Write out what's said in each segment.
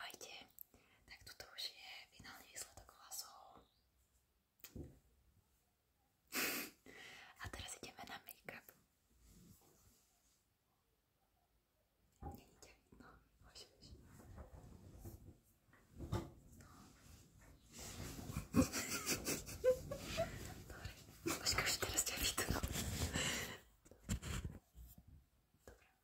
Ahojte, tak toto už je finálny výsledok hlasov. A teraz ideme na make-up. Není ťa vidno, môžeš. No. Dobre, počkaj, už teraz ťa vidno. Dobre,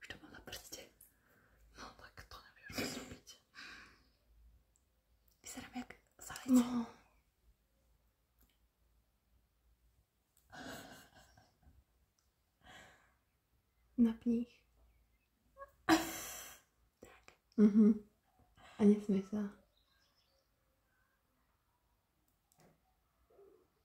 Už to No jak zalejce. No. Napni Tak. Mhm. Uh -huh. A nesmej sa.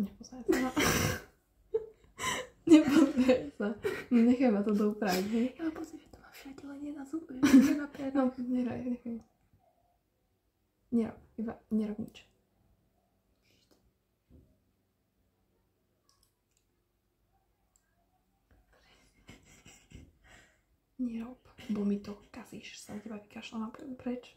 Nepozeraj sa. Nepozeraj sa. Necháme to doupraviť, hej? Ale pozri, to ma všade, len nenazuj, nenaperaj. no, neraj, nechaj. Nerob, iba nerob nič. Nerob, bo mi to kazíš, sa na teba vykašľam preč.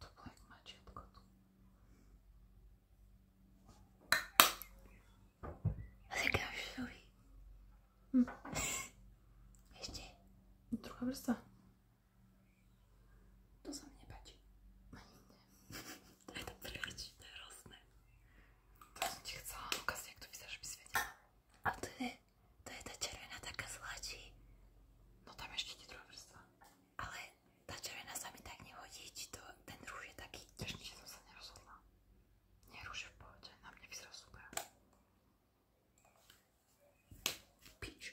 To bude mačiatko tu. Říkáš sorry. Ešte. Druhá vrsta. To sa mi nepáči. Ani nie. To je to prelečiť, to je hrozné. To som ti chcela ukázať, jak to vyzerá, aby si vedela. A to je, to je tá červená taká zlačí. No tam ešte ti druhá vrstva. Ale tá červená sa mi tak nehodí, či to, ten rúž je taký... Ešte som sa nerozhodla. Nie, rúž je v pohode, na mne vyzerá super. Pič.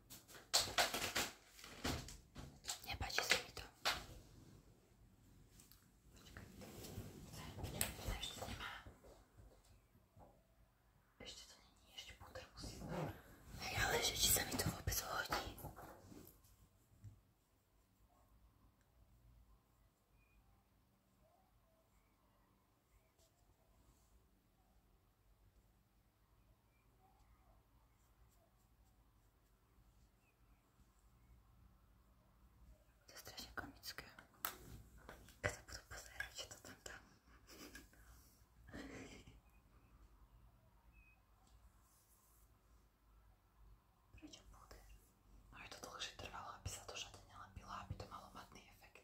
Nepáči sa mi to. Počkaj. Zaj, ešte nemá. Ešte to není, ešte púdr musím. Hej, ale že či sa mi to vôbec hodí. To je strašne komické. Kto budú pozerať, čo to tam tam. Prečo púder? No je to dlhšie trvalo, aby sa to žade nelepilo, aby to malo matný efekt.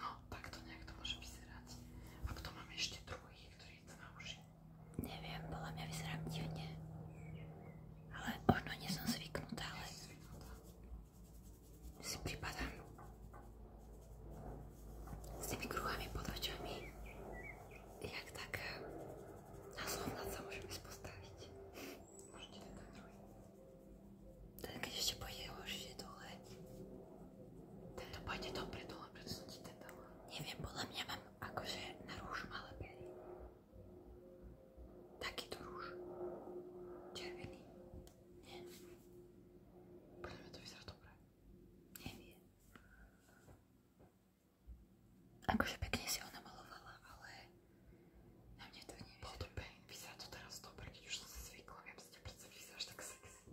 No, tak to nejak to môže vyzerať. A potom máme ešte druhý, ktorý je na uši. Neviem, podľa mňa vyzerám divne. Ale možno nie som zvyknutá, ale... Zvyknutá. Si pripadám s tými kruhami pod očami. Jak tak eh, na slovnad sa môžem ísť postaviť. Môžete ten druhý. Ten keď ešte pôjde horšie dole. Tento pôjde dobre dole, prečo som ti ten dala? Neviem, podľa mňa mám akože na rúž malé pery. Takýto rúž. Červený. Nie. Podľa mňa to vyzerá dobre. Neviem. Akože pekne si ona malovala, ale na mne to neviem. Bol to pain, vyzerá to teraz dobre, keď už som sa zvykla, viem, že ťa predsa vyzeráš tak sexy.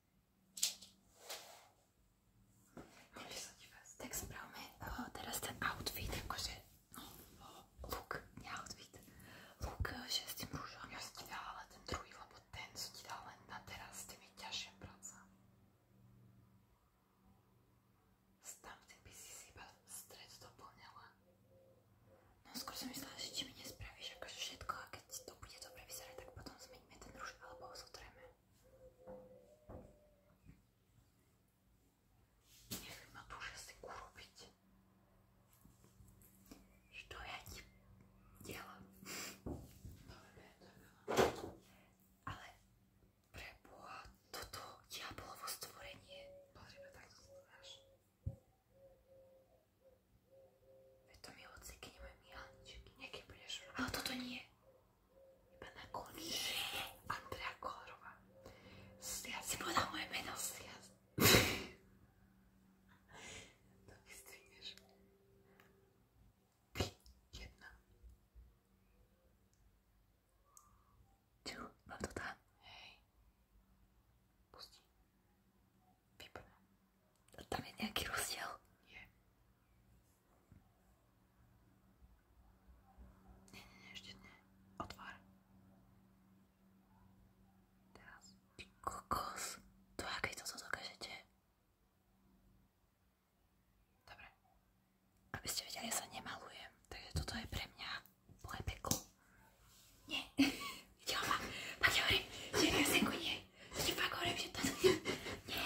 Tak spravme oh, teraz ten outfit, akože, no, oh, look, nie outfit, look, eh, že s tým rúžom. Ja som ti dala ten druhý, lebo ten, co ti dal len na teraz, s tým je ťažšia práca. Tam ten by si si iba stred doplňala. No skôr som myslela, že či mi nespravíš akože všetko a keď to bude dobre vyzerať, tak potom zmeníme ten rúž alebo ho zotreme. Nie wiem, no dużo z tego robić. Что я не делаю? Але прибо тут я була в створенні. Потрібно так знаєш. Это милоцики не мои мианчики. Некие были А тут они iba na konci Andrea Kolová. Stia si povedal moje meno, Stia. to vystrihneš. Ty, jedna. Čo, mám to tam? Hej. Pusti. Vypadá. Tam je nejaký rozdiel? Nie. Nie, nie, nie, ešte nie. Otvár. Teraz. Ty kokos. To ja keď toto dokážete. Dobre. Aby ste vedeli, ja sa nemalujem. Takže toto je pre mňa peklo. Nie. Videla ma. Tak hovorím, že ja senku nie. To ti fakt hovorím, že toto nie. Nie.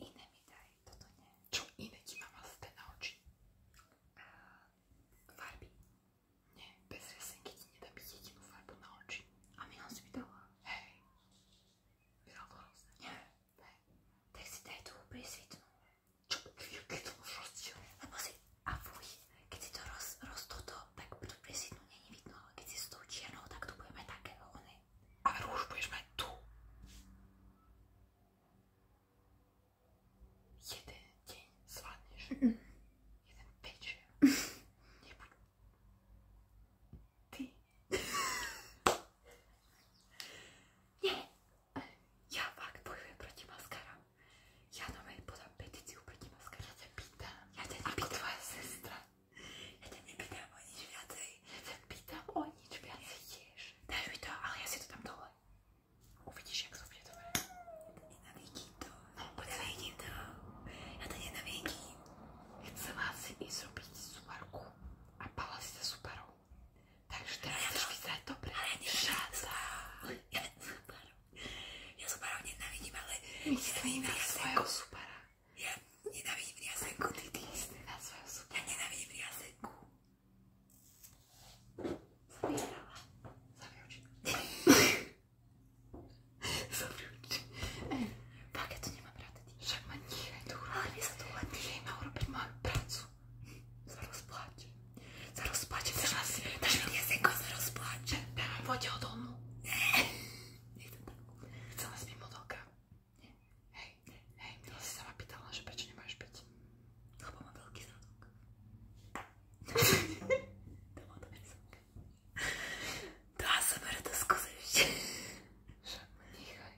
Iné mi daj, toto nie. Čo iné ti mama zde na oči? A farby. Nie, bez resenky ti nedá byť jedinú farbu na oči. A mi si mi dala. Hej. Vyral to hrozne. Nie. Hej. Tak si daj tú prísvitnú. Čo? Keď to už rozdiel? Lebo si, a fuj, keď si to roz, roz toto, tak tú prísvitnú není vidno, ale keď si s tou čiernou, tak to budeme takého, one ale rúž budeš mať tu. Jeden deň zvládneš. Jeden večer. Nebuď. Ty. Nie. Ja fakt bojujem proti maskaram. Ja normálne podám petíciu proti maskaram. Ja ťa pýtam. Ja ťa pýtam. Ako tvoja sestra. Ja ťa nepýtam o nič viacej. Ja pýtam o nič viacej tiež. Daj mi to, ale ja si to tam dole. Uvidíš, jak to bude dobre. Nenavidím to. No, nenavidím to. Ja to nenavidím. Chcela si ísť robiť súparku a pala si sa súparou. Takže teraz ja chceš to... vyzerať dobre. Ale ja šáca. Ja súparou. Ja súparou nenavidím, ale... Myslím na svojho súpara. Ja nenávidím riazenku, ty ty isté na svoju súdu. Ja nenávidím riazenku. Som vyhrala. Zavri oči. Zavri oči. Fakt, ja to nemám ráda. Však ma nechaj to urobiť. Ale mne sa to urobiť. Nechaj ma urobiť moju prácu. Sa rozpláče. Sa rozpláče. Dáš mi riazenku, sa rozpláče. Dáme poď ho domu. Nechcem tak. Chcela si byť modelka? Nie. Hej, hej, mňa si sama pýtala, že prečo nemáš byť. Lebo mám veľký zadok. to má dobrý zadok. To ASMR to skúsi ešte. Však nechaj.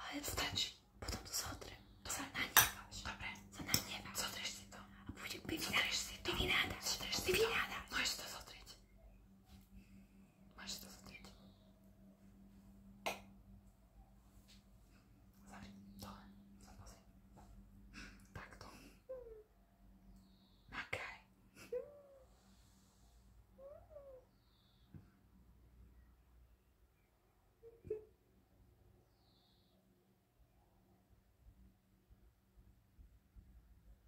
Ale to stačí. Potom to zotrem. To sa nanieváš. Dobre. Sa nanieváš. Zotrieš si to. A bude pivináda. Zotrieš si to. Pivináda. Zotrieš si to. Pivináda. Môžeš to zotrieť. Máš to zatrieť. Zavri. Dole. Zapozri. Takto. Makaj.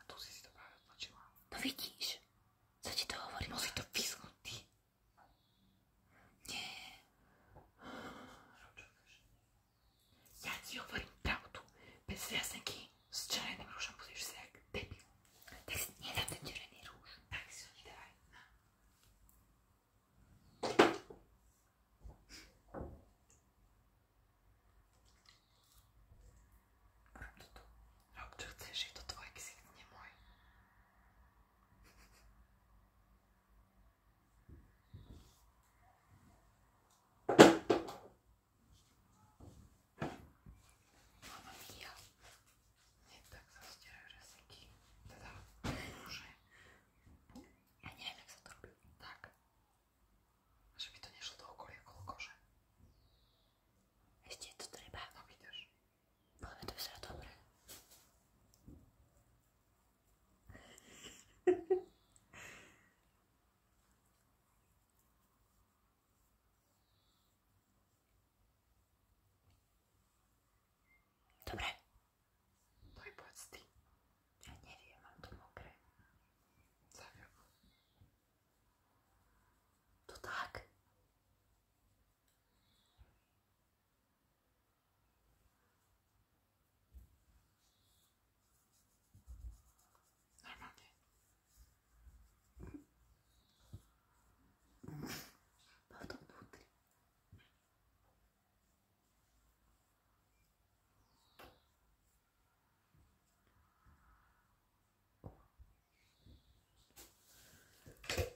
A tu si si to práve odločila. No vidíš, co ti to hovorím? Musí to písknúť ty. Nie. Ja ti hovorím pravdu. Bez jasnenky s červeným rúžom budeš si jak debil. Tak si nedám ten červený rúž. Tak si ho nedávaj. Rob to tu. Rob čo chceš, je to tvoj ksik, nie môj. Mám aj ja. Nie tak sa stierajú reseky. Teda, môže. Ja neviem, jak sa to robí. Tak. żeby to nie szło dookoła jak kolkorze. Wiecie, to, to ryba. No widzisz. Mamy to jest dobre. Dobre. No ja nie wiem, mam to mokre. Tak. To tak. Normalnie. Mam to nutri.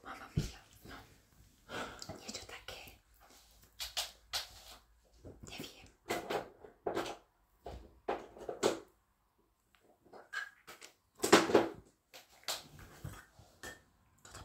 Mamma mia, no. Nieco takie. Nie wiem. To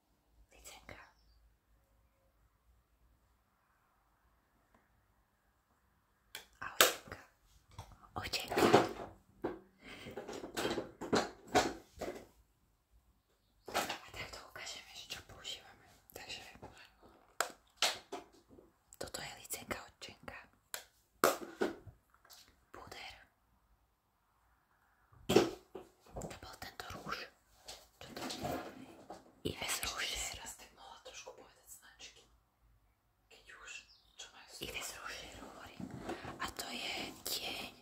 Licenka. Ahojka. Očenka. A takto ukážeme, že čo používame. Takže toto je licenka odčenka. Púder. To bol tento rúž. Čo to je? Ives Rusher. Ja ste mohla trošku povedať značky. Keď už, čo majú stúpať? Ives Rusher hovorí. A to je tieň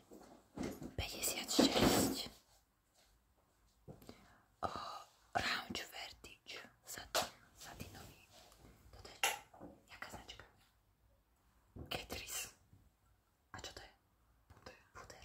56. O, Round Vertige. Satin, satinový. Toto je čo? Jaká značka? Ketris. A čo to je? Puder. Puder.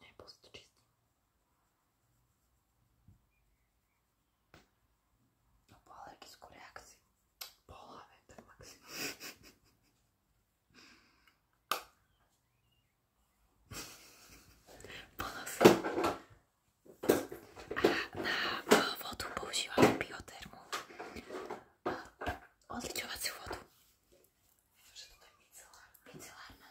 Nepostičistím. No po alergickú reakciu. Po hlave, tak maximum. po nose. A na eh, vodu používame biotermu. Eh, odličovaciu vodu. Že toto je micelárna. Micelárna.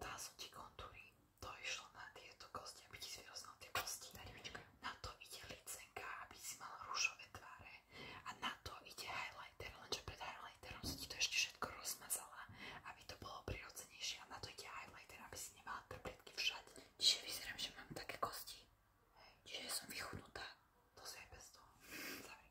Tá sú ti kontúry, to išlo na tieto kosti, aby ti zvýroznal tie kosti. Na to ide licenka, aby si mal rúžové tváre. A na to ide highlighter, lenže pred highlighterom si ti to ešte všetko rozmazala, aby to bolo prirodzenejšie. A na to ide highlighter, aby si nemala trpetky všade. Čiže vyzerám, že mám také kosti. Hej. Čiže som vychudnutá. To si aj bez toho. Zavri.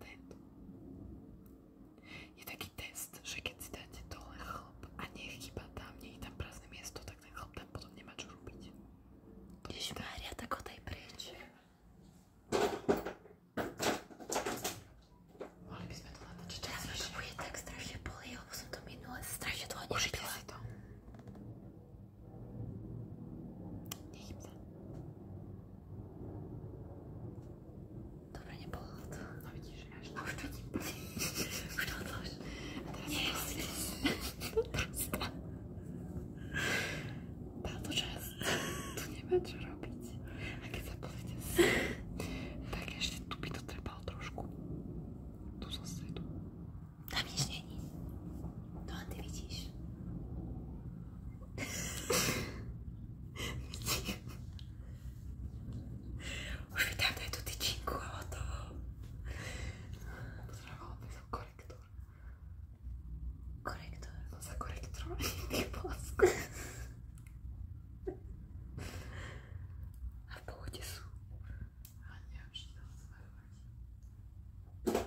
Tento. Je taký test, že keď si dáte dole chlp a nie je chyba tam, nie je tam prázdne miesto, tak ten chlp tam potom nemá čo robiť. Ježišmária, tak ho daj preč. Mali by sme to natáčať častejšie. Ja to bude tak strašne bolí, lebo som to minule strašne dlho nepila. Užite si to. Nechybne. Dobre, nebolo to. No vidíš, až to už to ti Už to odlož. Nie, si. Basta. Táto časť tu nemá čo robiť. A keď sa pozrite tak ešte tu by to trebalo trošku. Tu zo stredu. Tam nič není. To len ty vidíš. Už vydám tady tu tyčinku a hotovo. Potrebovala by som korektor. Korektor? Som sa korektor ty plasku. A v pohode sú. A neviem, či to sa majú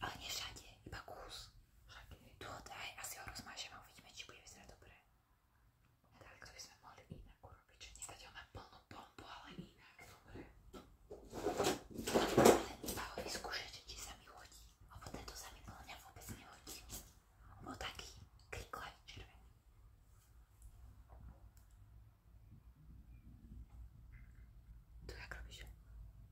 Ale nie všade, iba kus. Všade. Tu ho daj, asi ho rozmážem a uvidíme, či bude vyzerať dobre. Tak, to by sme mohli inak urobiť, že nedať ho na plnú bombu, ale inak. Dobre. Ale iba ho vyskúšať, či sa mi hodí. Lebo tento sa mi podľa mňa vôbec nehodí. On bol taký kriklavý červený. Tu jak robíš?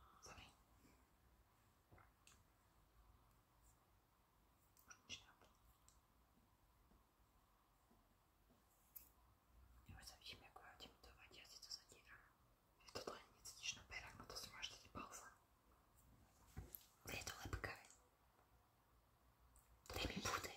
Ja už sa vidím, ako ja idem to vať, ja si to zadieram. Je to len necítiš na perách, no to si máš tedy pauza. Je to lepkavé. Daj mi puter.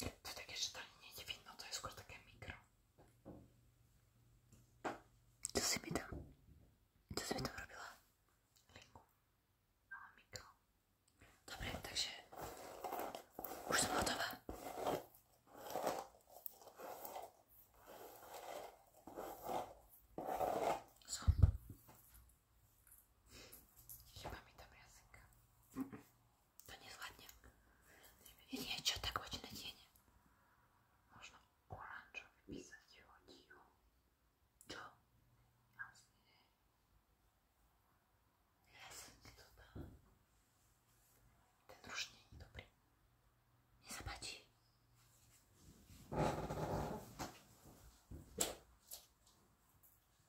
To je také, že to nie je vidno, to je skôr také mikro. Čo si mi tam... Čo si mi tam robila? Linku. Ale mikro. Dobre, takže... Už som hotová. Som. Щипами добрясенько. Mm -mm. Да не сладне. Или я что так очень надену? Можно оранжевый писать его. Что? Ясеньки туда. Ты дружнее не добрый. Не заплати.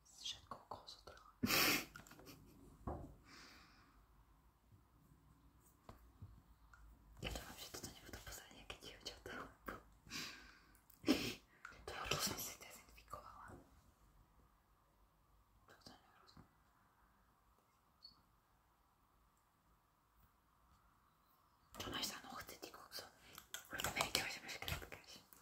si všetko okolo zotrla. ja dúfam, že toto nebudú pozrieť nejaké dievčatá. to je to som si dezinfikovala. Toto je nerozumné. To máš za nohce, ty kúco. V Amerike už máš krátkaš.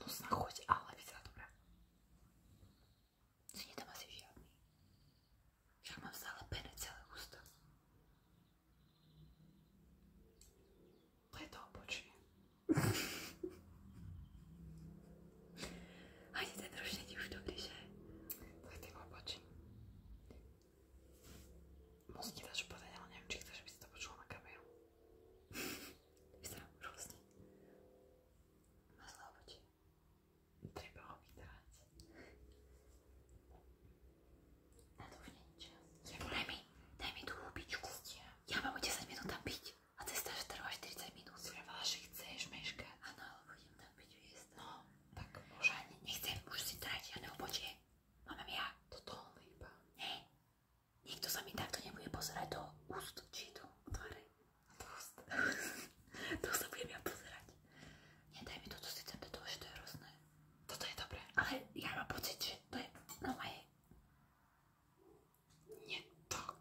no znachoď, ale vyzerá dobrá. Si nedám asi žiadny. Však mám stále pene celé ústa. To je to obočie. Ani ten rošený už dobrý, že? To je tým obočím. Moc ti dáš povedať, ale neviem, či chceš, aby si to počula na kameru. Vyzerám rôzne. Má zlé obočie. Treba ho vydávať. Na to už není čas. Daj mi, daj mi tú hubičku. Ja mám o 10 minút tam byť. A cesta že trvá 40 minút. Trvala, že chceš meškať. Áno, ale budem tam byť viesť. No, tak môže. Nechcem už si trať žiadne obočie. Mám ja. Toto on iba. Nie. Nikto sa mi takto nebude pozerať do úst, či do tváre. Do úst. to sa budem ja pozerať. Nedaj mi toto si tam to že to je hrozné. Toto je dobré, ale ja mám pocit, že to je na moje... Nie tak.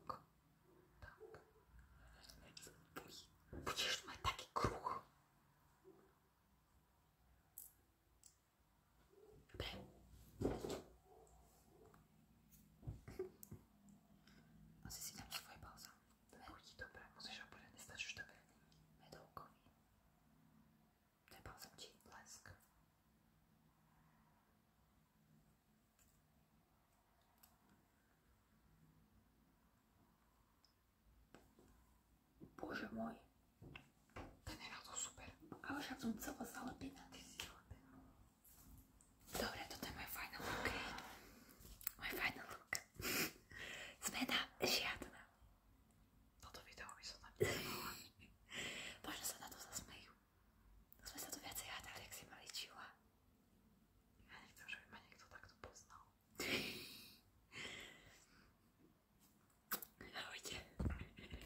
Tak. Budeš mať taký kruh. Dobre. Asi si dám svoje balzám. Chutí dobre, musíš ho bude, nestačí už dobre. Medovkový. To je balzám či lesk. Bože môj, Generál to super. Ale však som chcela zalepiť na ty si zalepená. Dobre, toto je môj final look, hej. Môj final look. Zmena žiadna. Toto video by som tam nemohla. Možno sa na to zasmejú. To sme sa tu viacej hádali, ak si mali čila. Ja nechcem, že by ma niekto takto poznal. Ahojte.